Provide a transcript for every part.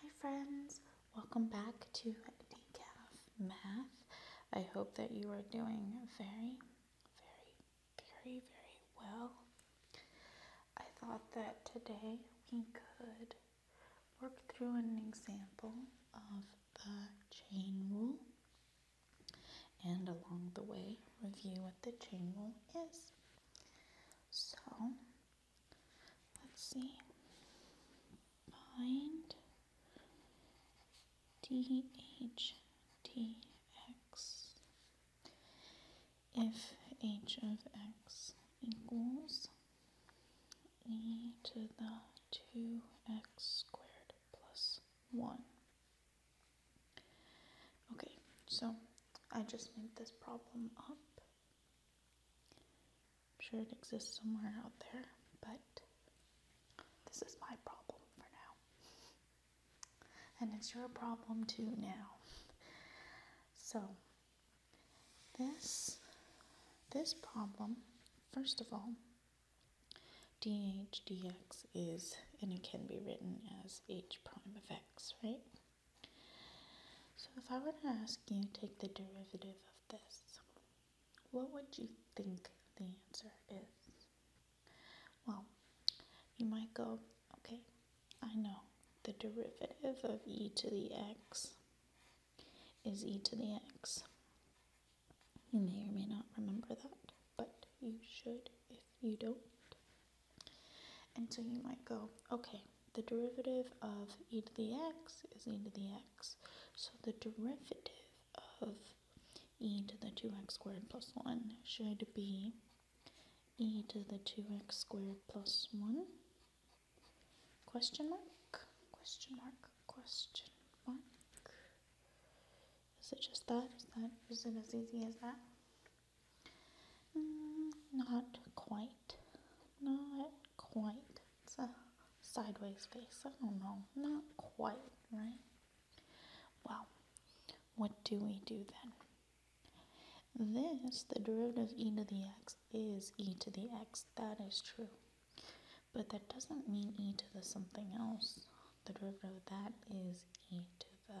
Hi friends, welcome back to Decaf Math. I hope that you are doing very, very, very, very well. I thought that today we could work through an example of the chain rule and along the way review what the chain rule is. So Let's see. Find d h d x if h of x equals e to the 2x squared plus 1. Okay, so I just made this problem up I'm sure it exists somewhere out there, but this is my problem for now. And it's your problem too now. So, this this problem, first of all, d h d x is, and it can be written as h prime of x, right? So if I were to ask you take the derivative of this, what would you think the answer is? Well, you might go, okay, I know the derivative of e to the x is e to the x. You may or may not remember that, but you should if you don't. And so you might go, okay, the derivative of e to the x is e to the x. So the derivative of e to the 2x squared plus 1 should be e to the 2x squared plus 1? Question mark? Question mark? Question mark? Is it just that? Is, that, is it as easy as that? Mm, not quite. Not quite. It's a sideways face. I don't know. Not quite, right? Well, what do we do then? This, the derivative e to the x is e to the x. That is true. But that doesn't mean e to the something else. The derivative of that is e to the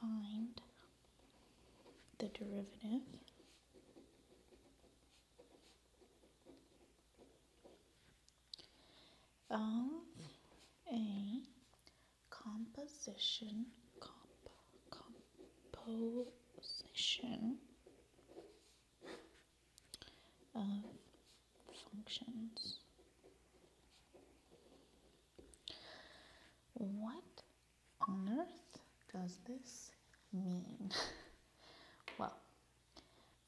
find the derivative of a composition composition of functions what on earth does this mean? well,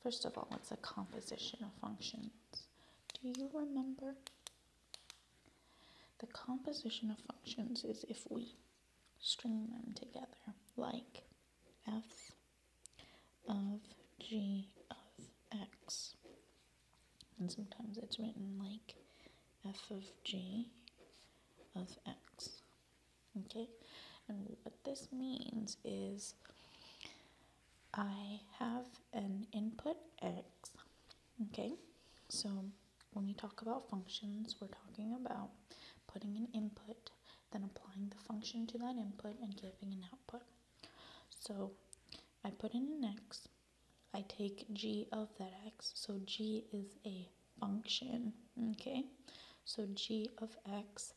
first of all, it's a composition of functions. Do you remember? The composition of functions is if we string them together, like f of g of x and sometimes it's written like f of g of x. Okay? And what this means is I have an input x. Okay? So when we talk about functions, we're talking about putting an input, then applying the function to that input and giving an output. So I put in an x, I take g of that x. So g is a function, okay? So g of x,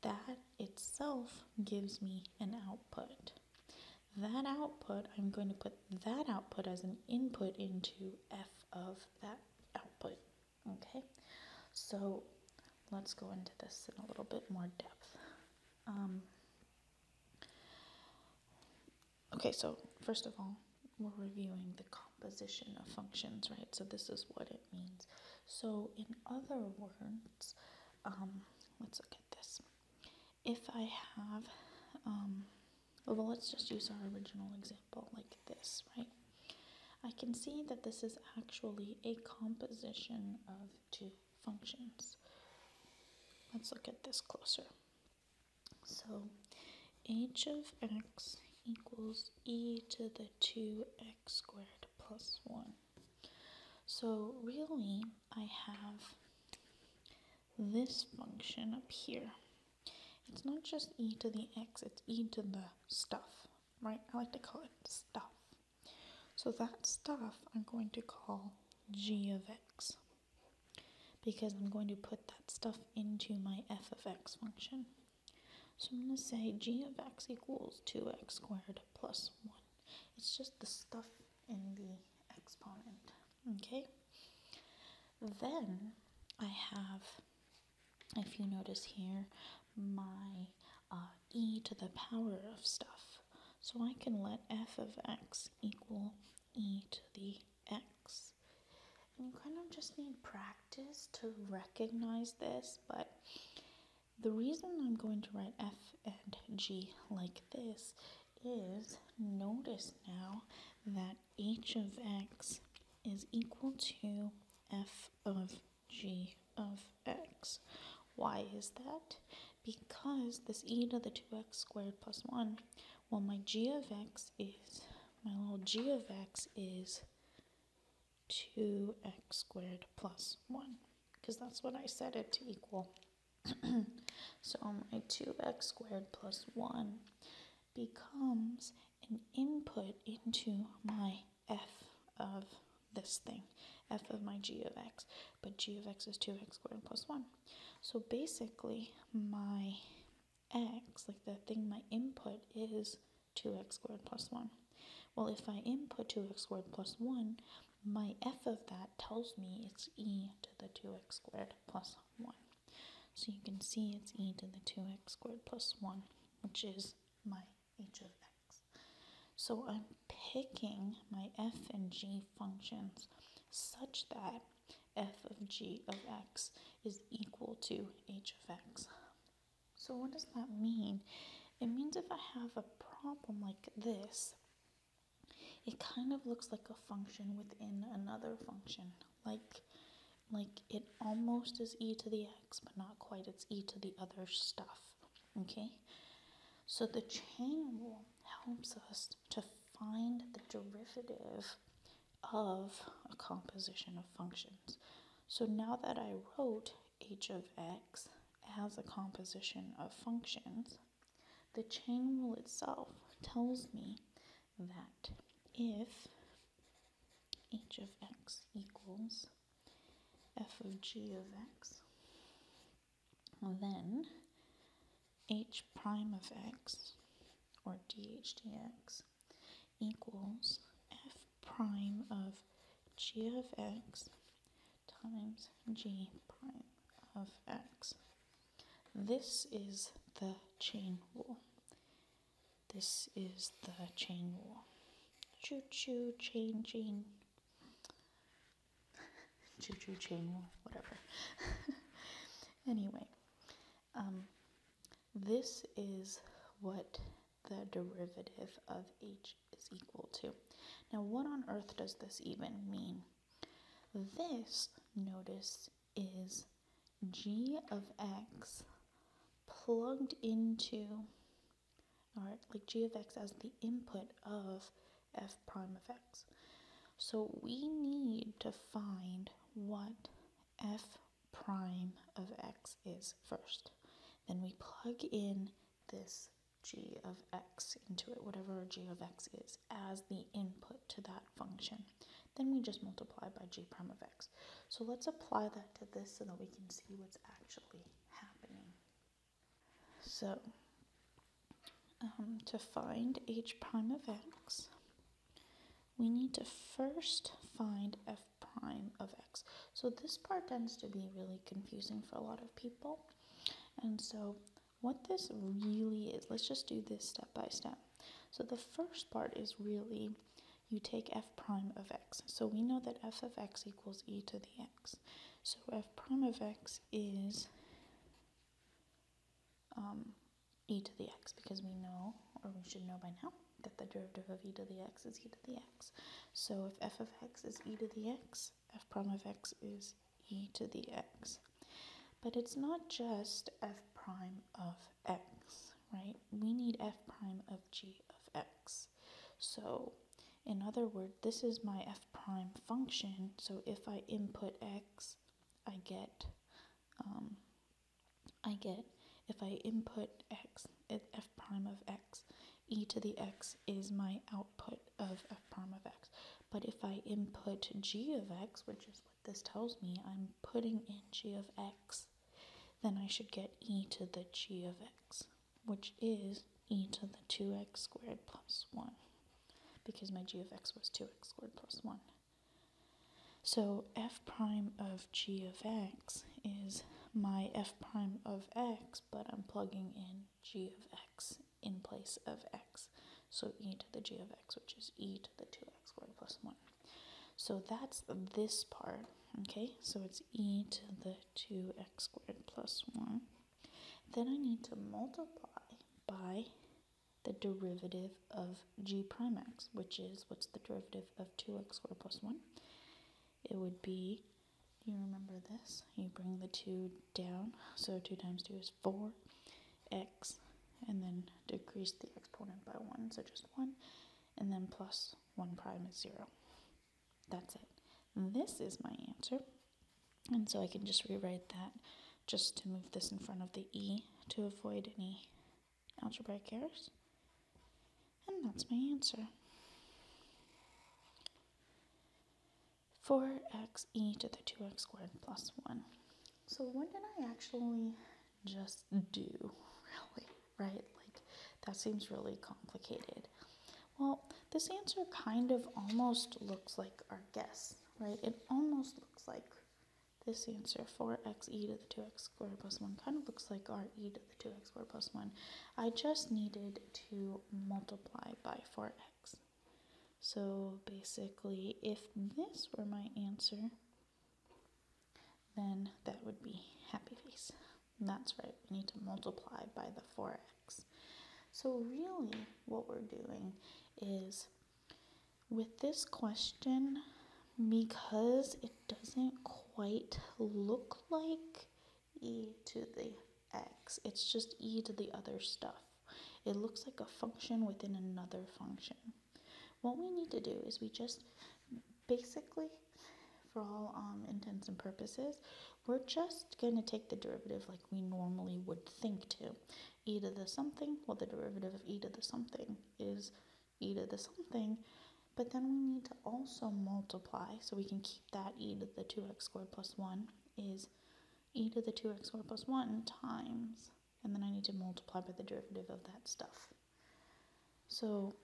that itself gives me an output. That output, I'm going to put that output as an input into f of that output, okay? So let's go into this in a little bit more depth. Um, Okay, so first of all, we're reviewing the composition of functions, right? So this is what it means. So in other words, um, let's look at this. If I have, um, well, let's just use our original example like this, right? I can see that this is actually a composition of two functions. Let's look at this closer. So h of x equals e to the 2x squared plus 1. So really, I have this function up here. It's not just e to the x, it's e to the stuff, right? I like to call it stuff. So that stuff I'm going to call g of x x because I'm going to put that stuff into my f of x function. So I'm going to say g of x equals 2x squared plus 1. It's just the stuff in the exponent, okay? Then I have, if you notice here, my uh, e to the power of stuff. So I can let f of x equal e to the x. And you kind of just need practice to recognize this, but the reason I'm going to write f and g like this is notice now that h of x is equal to f of g of x why is that? Because this e to the 2x squared plus 1, well, my g of x is, my little g of x is 2x squared plus 1, because that's what I set it to equal. so my 2x squared plus 1 becomes an input into my f of this thing f of my g of x, but g of x is 2x squared plus 1. So basically, my x, like the thing my input is 2x squared plus 1. Well, if I input 2x squared plus 1, my f of that tells me it's e to the 2x squared plus 1. So you can see it's e to the 2x squared plus 1, which is my h of x. So I'm picking my f and g functions such that f of g of x is equal to h of x. So what does that mean? It means if I have a problem like this, it kind of looks like a function within another function. Like, like it almost is e to the x, but not quite. It's e to the other stuff. Okay? So the chain rule helps us to find the derivative of a composition of functions. So now that I wrote h of x as a composition of functions, the chain rule itself tells me that if h of x equals f of g of x, then h prime of x, or d h d x, equals f prime of g of x times g prime of x. This is the chain rule. This is the chain rule. Choo choo, chain, chain. Choo Choo Chainwall, whatever. anyway, um, this is what the derivative of h is equal to. Now, what on earth does this even mean? This, notice, is g of x plugged into or like g of x as the input of f prime of x. So we need to find what f prime of x is first. Then we plug in this g of x into it, whatever g of x is, as the input to that function. Then we just multiply by g prime of x. So let's apply that to this so that we can see what's actually happening. So, um, to find h prime of x, we need to first find f prime of x. So this part tends to be really confusing for a lot of people. And so what this really is, let's just do this step by step. So the first part is really you take f prime of x. So we know that f of x equals e to the x. So f prime of x is um, e to the x because we know, or we should know by now, that the derivative of e to the x is e to the x. So if f of x is e to the x, f prime of x is e to the x. But it's not just f prime of x, right? We need f prime of g of x. So in other words, this is my f prime function. So if I input x, I get, um, I get, if I input x, eh, f prime of x, e to the x is my output of f prime of x. But if I input g of x, which is what this tells me, I'm putting in g of x, then I should get e to the g of x which is e to the 2x squared plus 1, because my g of x was 2x squared plus 1. So f prime of g of x is my f prime of x, but I'm plugging in g of x in place of x. So e to the g of x, which is e to the 2x squared plus 1. So that's this part, okay? So it's e to the 2x squared plus 1. Then I need to multiply by the derivative of g prime x, which is, what's the derivative of 2x squared plus 1? It would be, you remember this, you bring the 2 down, so 2 times 2 is 4x, and then decrease the exponent by 1, so just 1, and then plus 1 prime is 0. That's it. This is my answer. And so I can just rewrite that just to move this in front of the E to avoid any algebraic errors. And that's my answer. four x e to the 2x squared plus 1. So what did I actually just do, really, right? Like, that seems really complicated. Well, this answer kind of almost looks like our guess, right? It almost looks like this answer, 4x e to the 2x squared plus 1, kind of looks like our e to the 2x squared plus 1. I just needed to multiply by 4x. So basically, if this were my answer, then that would be happy face that's right, we need to multiply by the 4x. So really what we're doing is with this question, because it doesn't quite look like e to the x, it's just e to the other stuff. It looks like a function within another function. What we need to do is we just basically for all um, intents and purposes, we're just going to take the derivative like we normally would think to. e to the something, well, the derivative of e to the something is e to the something, but then we need to also multiply, so we can keep that e to the 2x squared plus 1 is e to the 2x squared plus 1 times, and then I need to multiply by the derivative of that stuff. So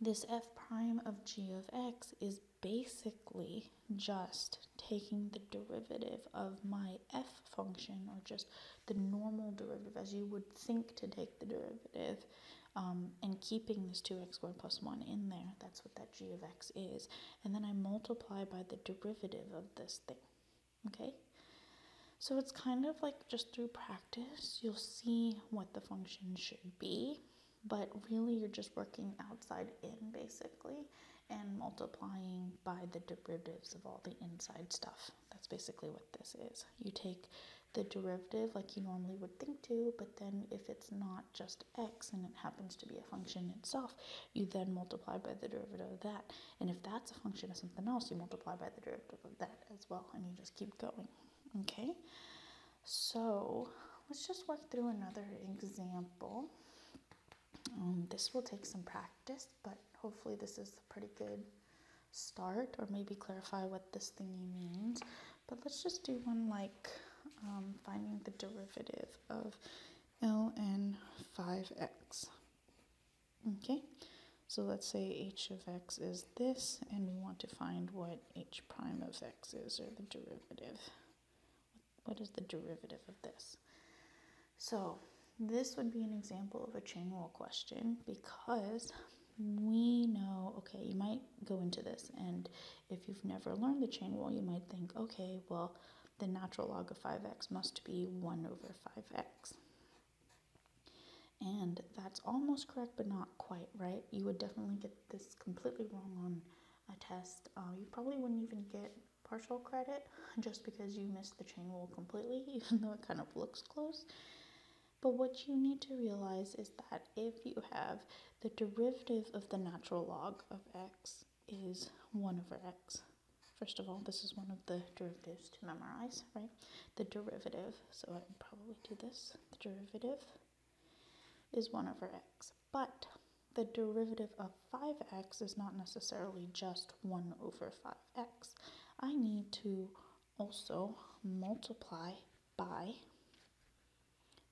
this f prime of g of x is basically just taking the derivative of my f function or just the normal derivative as you would think to take the derivative um, and keeping this 2x squared plus 1 in there. That's what that g of x is. And then I multiply by the derivative of this thing. Okay? So it's kind of like just through practice, you'll see what the function should be but really you're just working outside in basically and multiplying by the derivatives of all the inside stuff. That's basically what this is. You take the derivative like you normally would think to, but then if it's not just x and it happens to be a function itself, you then multiply by the derivative of that. And if that's a function of something else, you multiply by the derivative of that as well, and you just keep going. Okay? So let's just work through another example. Um, this will take some practice, but hopefully this is a pretty good start or maybe clarify what this thingy means. But let's just do one like um, finding the derivative of ln 5x. Okay, so let's say h of x is this, and we want to find what h prime of x or the derivative. What is the derivative of this? So this would be an example of a chain rule question because we know, okay, you might go into this and if you've never learned the chain rule, you might think, okay, well, the natural log of 5x must be 1 over 5x. And that's almost correct, but not quite, right? You would definitely get did this completely wrong on a test, uh, you probably wouldn't even get partial credit just because you missed the chain rule completely, even though it kind of looks close. But what you need to realize is that if you have the derivative of the natural log of x is 1 over x, first of all, this is one of the derivatives to memorize, right? The derivative, so I can probably do this, the derivative is 1 over x. But the derivative of 5x is not necessarily just 1 over 5x. I need to also multiply by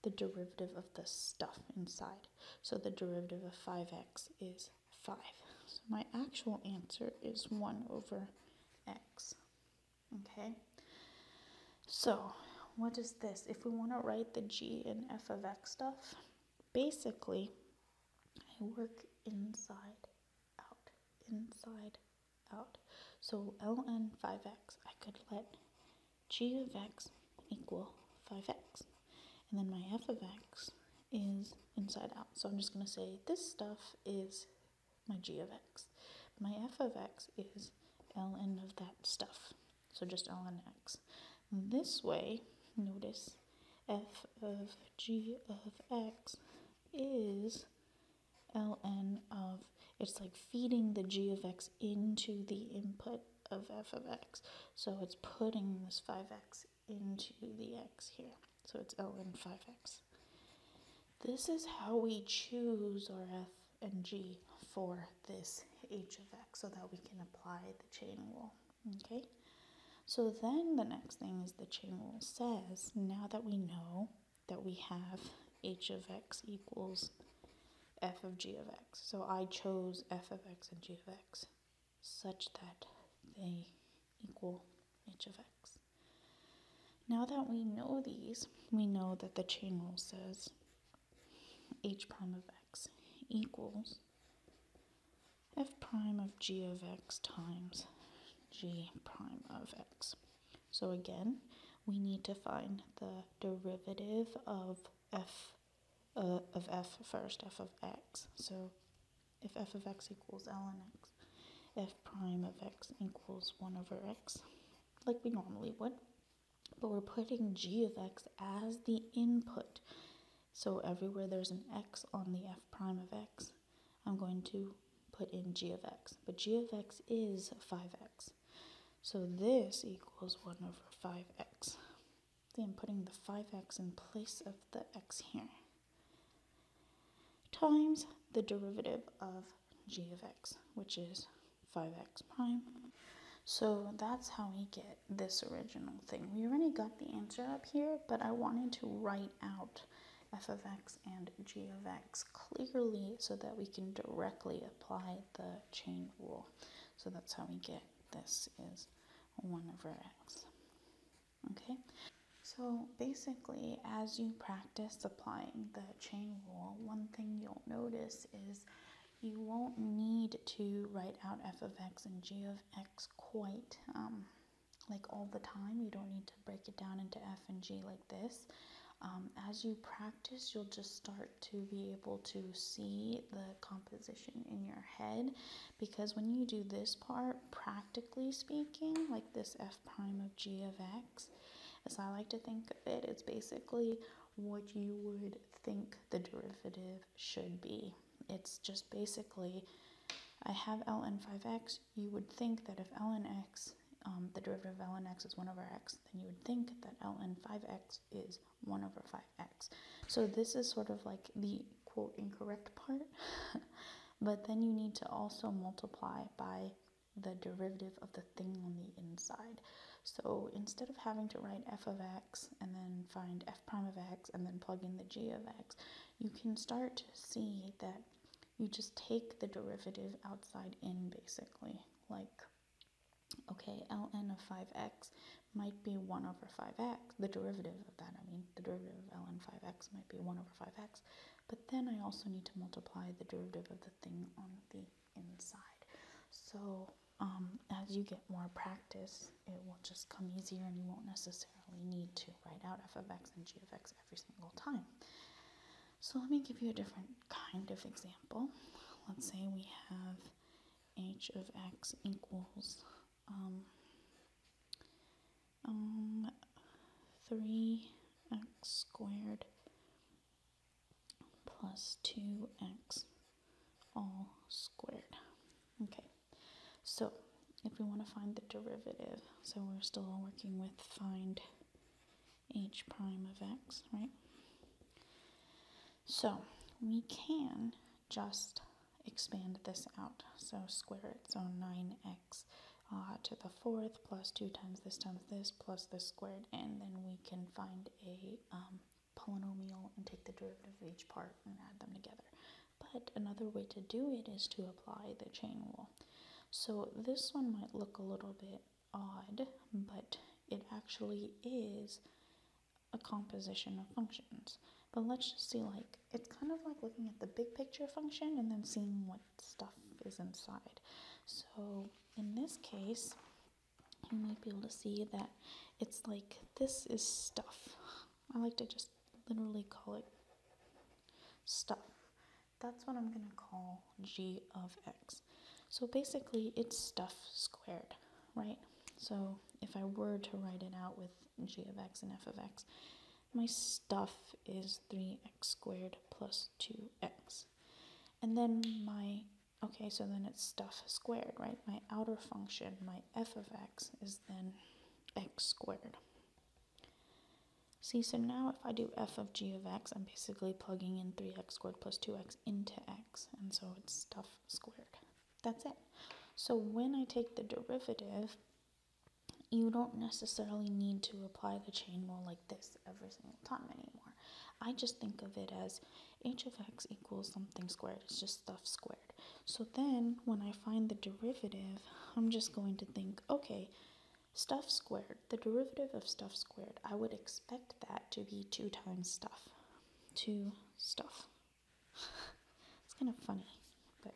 the derivative of the stuff inside. So the derivative of 5x is 5. So my actual answer is 1 over x. Okay, so what is this? If we want to write the g and f of x stuff, basically, I work inside out, inside out. So ln 5x, I could let g of x equal 5x. And then my f of x is inside out. So I'm just going to say this stuff is my g of x. My f of x is ln of that stuff, so just ln x. This way, notice f of g of x is ln of, it's like feeding the g of x into the input of f of x. So it's putting this 5x into the x here. So it's ln 5x. This is how we choose our F and G for this h of x so that we can apply the chain rule, okay? So then the next thing is the chain rule says, now that we know that we have h of x equals f of g of x. So I chose f of x and g of x such that they equal h of x. Now that we know these, we know that the chain rule says h prime of x equals f prime of g of x times g prime of x. So again, we need to find the derivative of f uh, of f first, f of x. So if f of x equals ln x, f prime of x equals 1 over x, like we normally would, but we're putting g of x as the input. So everywhere there's an x on the f prime of x, I'm going to put in g of x. But g of x is 5x. So this equals 1 over 5x. Then putting the 5x in place of the x here. Times the derivative of g of x, which is 5x prime. So that's how we get this original thing. We already got the answer up here, but I wanted to write out f of x and g of x clearly so that we can directly apply the chain rule. So that's how we get this is 1 over x. Okay, so basically, as you practice applying the chain rule, one thing you'll notice is you won't need to write out f of x and g of x quite um, like all the time. You don't need to break it down into f and g like this. Um, as you practice, you'll just start to be able to see the composition in your head because when you do this part, practically speaking, like this f prime of g of x, is. As I like to think of it, it's basically what you would think the derivative should be. It's just basically, I have ln 5x, you would think that if ln x, um, the derivative of ln x is 1 over x, then you would think that ln 5x is 1 over 5x. So this is sort of like the quote incorrect part, but then you need to also multiply by the derivative of the thing on the inside. So instead of having to write f of x and then find f prime of x and then plug in the g of x, you can start to see that you just take the derivative outside in basically. Like, okay, ln of 5x might be 1 over 5x, the derivative of that, I mean, the derivative of ln 5x might be 1 over 5x, but then I also need to multiply the derivative of the thing on the inside. So um, as you get more practice, it will just come easier and you won't necessarily need to write out f of x and g of x every single time. So let me give you a different kind of example. Let's say we have h of x equals um, um, 3x squared plus 2x all squared. Okay, so if we want to find the derivative, so we're still working with find h prime of x, right? So we can just expand this out. So square it, so 9x uh, to the fourth plus 2 times this times this plus this squared and then we can find a um, polynomial and take the derivative of each part and add them together. But another way to do it is to apply the chain rule. So this one might look a little bit odd, but it actually is a composition of functions. But let's just see like, it's kind of like looking at the big picture function and then seeing what stuff is inside. So in this case, you might be able to see that it's like this is stuff. I like to just literally call it stuff. That's what I'm going to call g of x. So basically, it's stuff squared, right? So if I were to write it out with g of x and f of x, my stuff is 3x squared plus 2x. And then my, okay, so then it's stuff squared, right? My outer function, my f of x, is then x squared. See, so now if I do f of g of x, I'm basically plugging in 3x squared plus 2x into x, and so it's stuff squared. That's it. So when I take the derivative, you don't necessarily need to apply the chain rule like this every single time anymore. I just think of it as h of x equals something squared. It's just stuff squared. So then when I find the derivative, I'm just going to think, okay, stuff squared, the derivative of stuff squared, I would expect that to be 2 times stuff. 2 stuff. it's kind of funny, but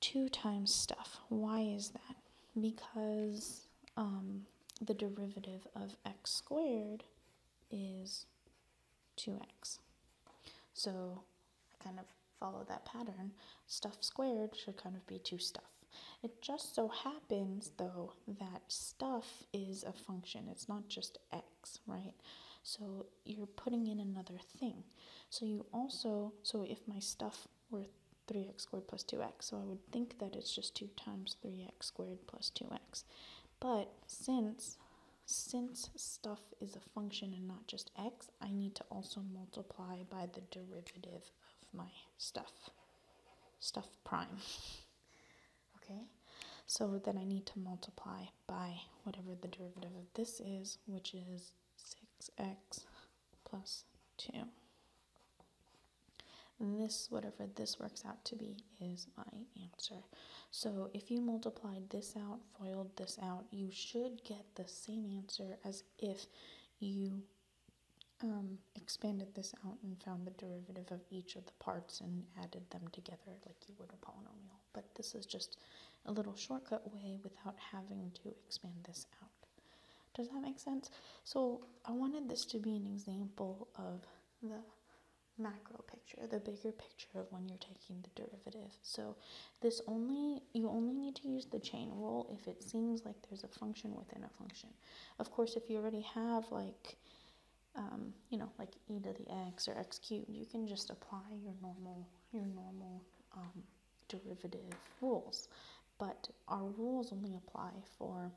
two times stuff. Why is that? Because um, the derivative of x squared is 2x. So I kind of follow that pattern. Stuff squared should kind of be 2 stuff. It just so happens, though, that stuff is a function. It's not just x, right? So you're putting in another thing. So you also, so if my stuff or 3x squared plus 2x. So I would think that it's just 2 times 3x squared plus 2x. But since since stuff is a function and not just x, I need to also multiply by the derivative of my stuff, stuff prime. okay, so then I need to multiply by whatever the derivative of this is, which is 6x plus 2. This, whatever this works out to be, is my answer. So if you multiplied this out, FOILed this out, you should get the same answer as if you um, expanded this out and found the derivative of each of the parts and added them together like you would a polynomial. But this is just a little shortcut way without having to expand this out. Does that make sense? So I wanted this to be an example of the macro picture, the bigger picture of when you're taking the derivative. So this only, you only need to use the chain rule if it seems like there's a function within a function. Of course, if you already have like, um, you know, like e to the x or x cubed, you can just apply your normal, your normal um, derivative rules, but our rules only apply for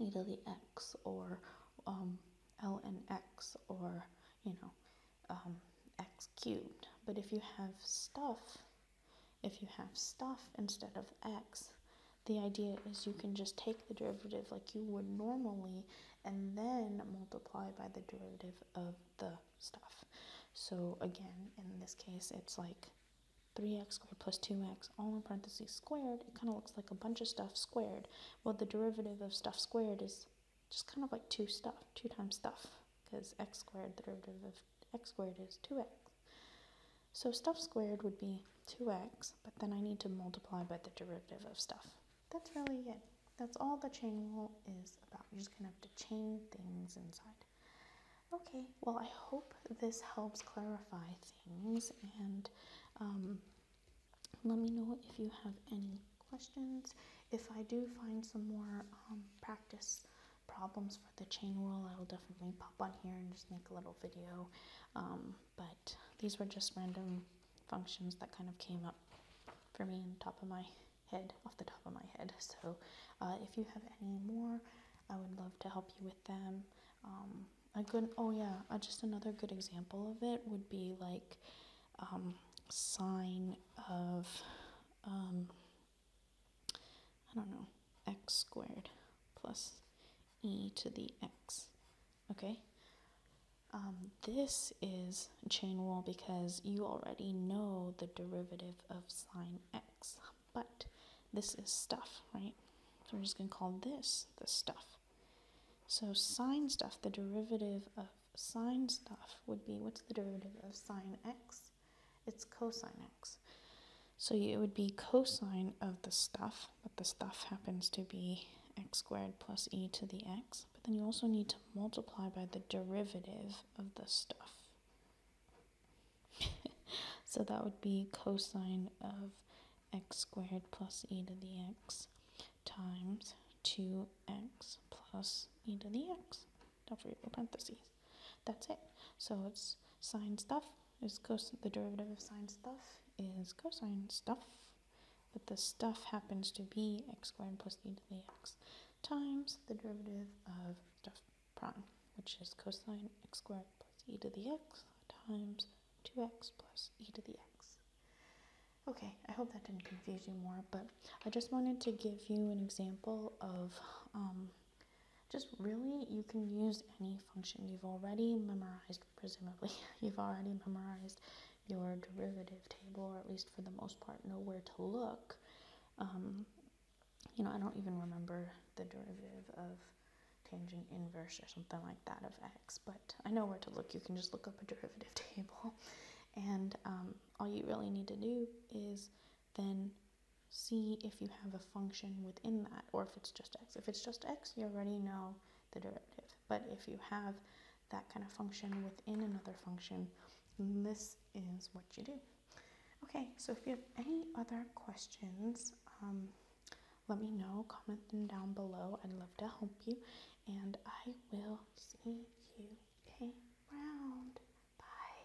either the x or um, l x or you know um, x cubed. But if you have stuff, if you have stuff instead of x, the idea is you can just take the derivative like you would normally and then multiply by the derivative of the stuff. So again, in this case, it's like 3x squared plus 2x, all in parentheses squared. It kind of looks like a bunch of stuff squared. Well, the derivative of stuff squared is just kind of like 2 stuff, 2 times stuff, because x squared, the derivative of x squared is 2x. So stuff squared would be 2x, but then I need to multiply by the derivative of stuff. That's really it. That's all the chain rule is about. You're just going to to chain things inside. Okay, well, I hope this helps clarify things and um, let me know if you have any questions. If I do find some more um, practice problems for the chain rule, I'll definitely pop on here and just make a little video. Um, but these were just random functions that kind of came up for me on top of my head off the top of my head. So uh, if you have any more, I would love to help you with them. Um, a good oh yeah, uh, just another good example of it would be like um, sign of um, I don't know x squared plus e to the x. Okay. Um, this is chain rule because you already know the derivative of sine x, but this is stuff, right? So we're just going to call this the stuff. So sine stuff, the derivative of sine stuff would be, what's the derivative of sine x? It's cosine x. So it would be cosine of the stuff, but the stuff happens to be x squared plus e to the x. But then you also need to multiply by the derivative of the stuff. so that would be cosine of x squared plus e to the x times 2x plus e to the x. Don't forget the parentheses. That's it. So it's sine stuff is cosine, the derivative of sine stuff is cosine stuff, but the stuff happens to be x squared plus e to the x times the derivative of stuff prime, which is cosine x squared plus e to the x times 2x plus e to the x. Okay, I hope that didn't confuse you more, but I just wanted to give you an example of um, just really you can use any function you've already memorized, presumably. you've already memorized your derivative table, or at least for the most part, know where to look um, you know, I don't even remember the derivative of tangent inverse or something like that of x, but I know where to look. You can just look up a derivative table, and um, all you really need to do is then see if you have a function within that or if it's just x. If it's just x, you already know the derivative, but if you have that kind of function within another function. And this is what you do. Okay, so if you have any other questions, um, let me know. Comment them down below. I'd love to help you. And I will see you around. Bye.